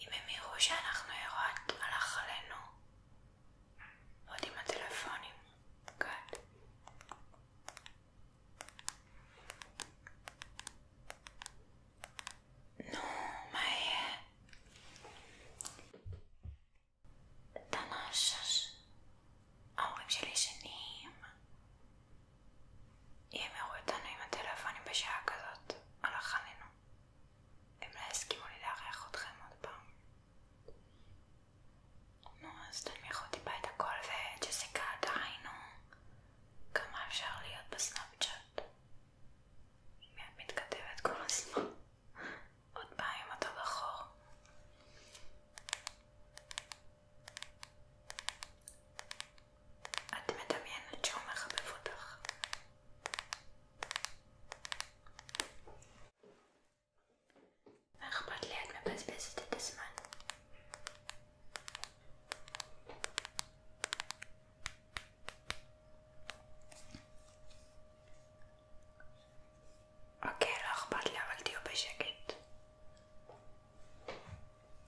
אם הם יראו שאנחנו ירות, הלך עלינו עוד עם הטלפונים, גד. נו, מה יהיה? תנא שש... ההורים שלי שנים. אם יראו אותנו עם הטלפונים בשעה כזאת, הלך עלינו. הם לא יסכימו לי לארח אתכם עוד פעם. נו, אז תנמיכו טיפה את הכל וג'סיקה דהיינו כמה אפשר להיות בסנאפצ'אט. היא מתכתבת כל הזמן. עוד פעם עם אותו בחור. את מדמיינת שהוא מחבב אותך. מה אכפת לי? את מבזבזת את הזמן. אוקיי, לא אכפת לי, אבל תהיו בשקט.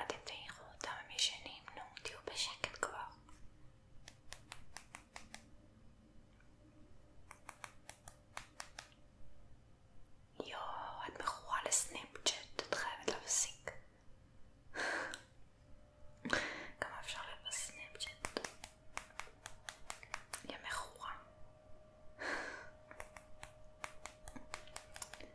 אתם תעירו אותם, הם ישנים, נו, תהיו בשקט כבר. יואו, את מכורה לסנאפצ'אט, את חייבת להפסיק. כמה אפשר להיות בסנאפצ'אט? היא מכורה.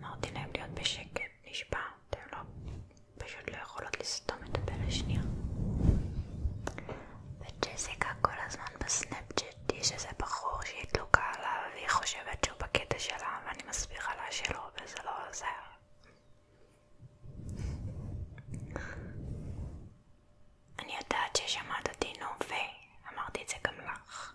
אמרתי להם להיות בשקט, נשבע, אתם לא, פשוט לא יכולות לסתום את הפה לשנייה. וג'סיקה כל הזמן בסנאפצ'ט יש איזה בחור שהיא תלוקה עליו והיא חושבת שהוא בקטע שלה ואני מסבירה לה שלא וזה לא עוזר. אני יודעת ששמעת אותי נו ואמרתי את זה גם לך.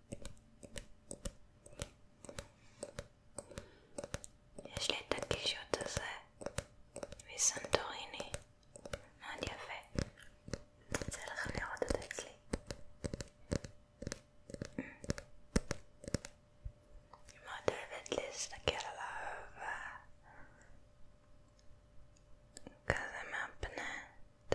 יש לי את הקישוט הזה מסנטוריני, מאוד יפה. יצא לכם לראות אותו אצלי. אני מאוד אוהבת להסתכל עליו כזה מהפנט.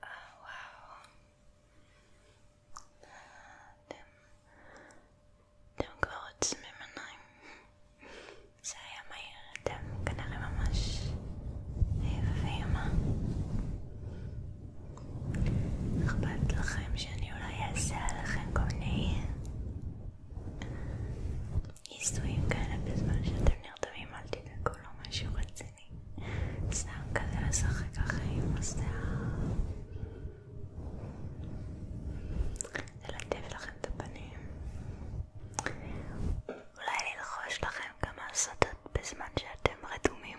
וואו. אתם כבר עוצמים עיניים. זה היה מהיר, אתם כנראה ממש יפים. אה? אכפת לכם שאני אולי סתם כזה לשחק ככה עם השיער ללטף לכם את הפנים אולי ללחוש לכם כמה סודות בזמן שאתם רדומים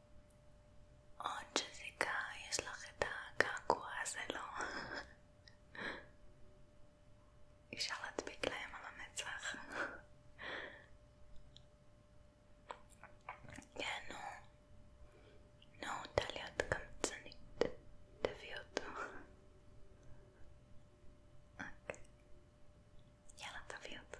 עוד שזיקה יש לך את הקעקוע הזה, לא? אפשר להדביק להם על המצח. כן, נו. נו, טליה את קמצנית. תביא אותו. אוקיי. יאללה, תביא אותו.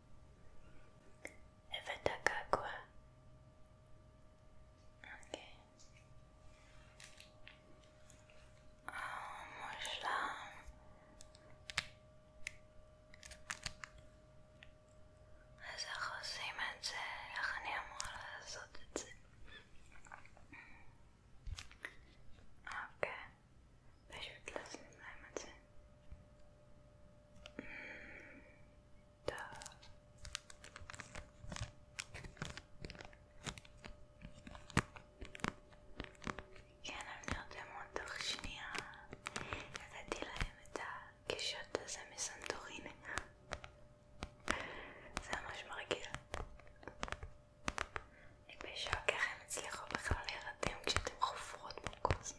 Evita água. Ok. Ah, vamos lá. אז איך עושים את זה? איך אני אמורה לעשות את זה? אוקיי, פשוט לשים להם את זה. Да. כן, אני נרדמות תוך שנייה. נתתי להם את הקישוט הזה מסנטורין. זה ממש מרגיע. אני בשוק איך הם הצליחו בכלל להירדם כשאתם חופרות פה כל הזמן.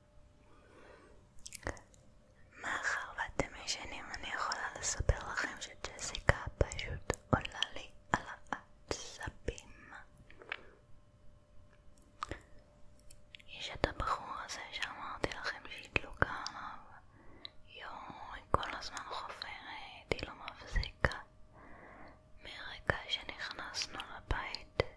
מאחר ואתם ישנים אני יכולה לספר לכם שג'סיקה פשוט עולה לי על העצבים. יש את הבחור הזה שאמרתי לכם שהיא דלוקה עליו. יואו, היא כל הזמן חופרת, היא לא מפסיקה. מרגע שנכנסנו לבית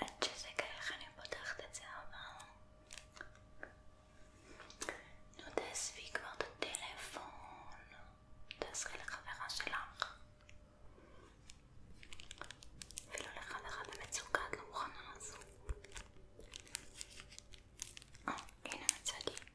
עד שזה איך אני פותחת את זה אבל נו תעזבי כבר את הטלפון תעזרי לחברה שלך אפילו לחברה במצוקה את לא מוכנה לעזור אה, הנה מצאתי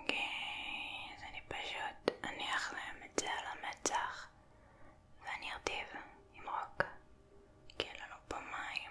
אוקיי, אז אני פשוט אניח להם את זה על המצח ואני ארטיב עם רוק כי אין לנו פה מים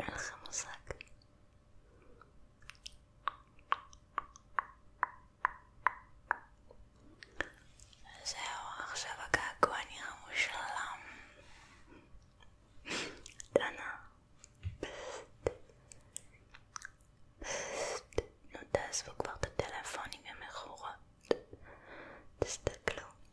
אין לכם מושג. זהו, עכשיו הגעגוע נראה מושלם. דנה, פסט, פסט, נו תעזבו כבר את הטלפונים המכורות. תסתכלו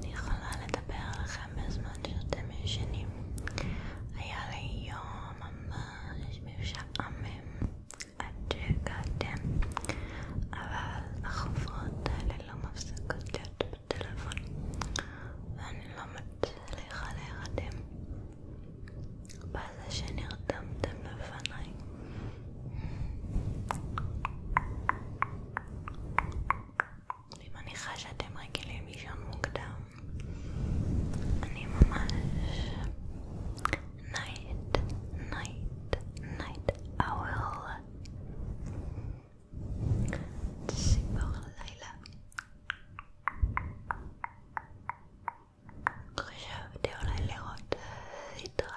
אני יכולה לדבר לכם בזמן שאתם ישנים. היה לי יום ממש משעמם עד שהגעתם, אבל החוברות האלה לא מפסיקות להיות בטלפון, ואני לא מצליחה להירדם. בזה שנרדמתם בפניי. אני מניחה שאתם רגילים לישון מוקדם. אני ממש... night, night, night owl. ציפור הלילה. חשבתי אולי לראות סדרה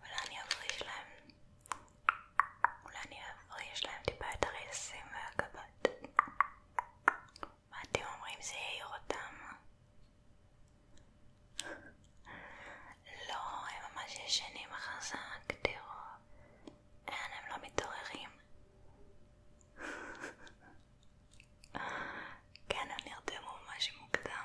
אולי אני אפריש להם, אולי אני אפריש להם טיפה את הרייסים והגבות. מה אתם אומרים זה יעיר אותם? לא, הם ממש ישנים חזק, תראו. אין, הם לא מתעוררים. כן, הם נרדמו ממש מוקדם.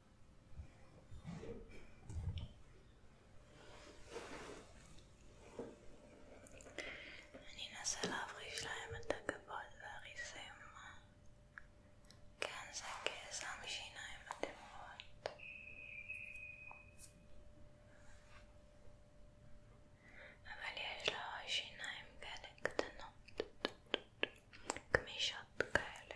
אני אנסה להפריש להם את הגבות והריסים כן, זה גזע משיניים בתמרות אבל יש לו שיניים כאלה קטנות גמישות כאלה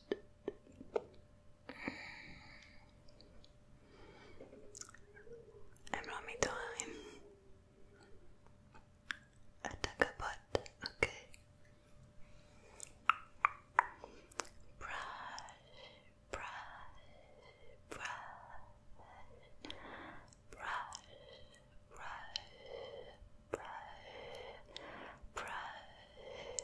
I'm on my time. Attack a butt, okay. brush, brush, brush, brush, brush, brush,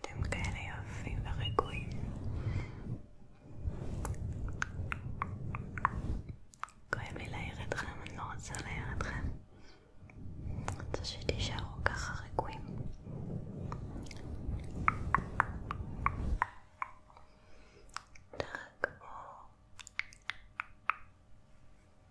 אתם כאלה יפים ורגועים. כואב לי להעיר אתכם, אני לא רוצה להעיר אתכם. אני רוצה שתישארו ככה רגועים. תרגעו.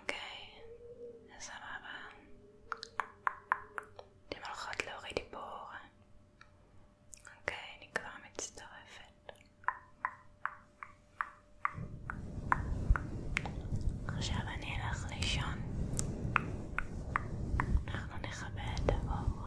אוקיי, סבבה. אתם הולכות להוריד דיבור. אוקיי, אני כבר מצטרפת. עכשיו אני אלך לישון. אנחנו נכבה את האור.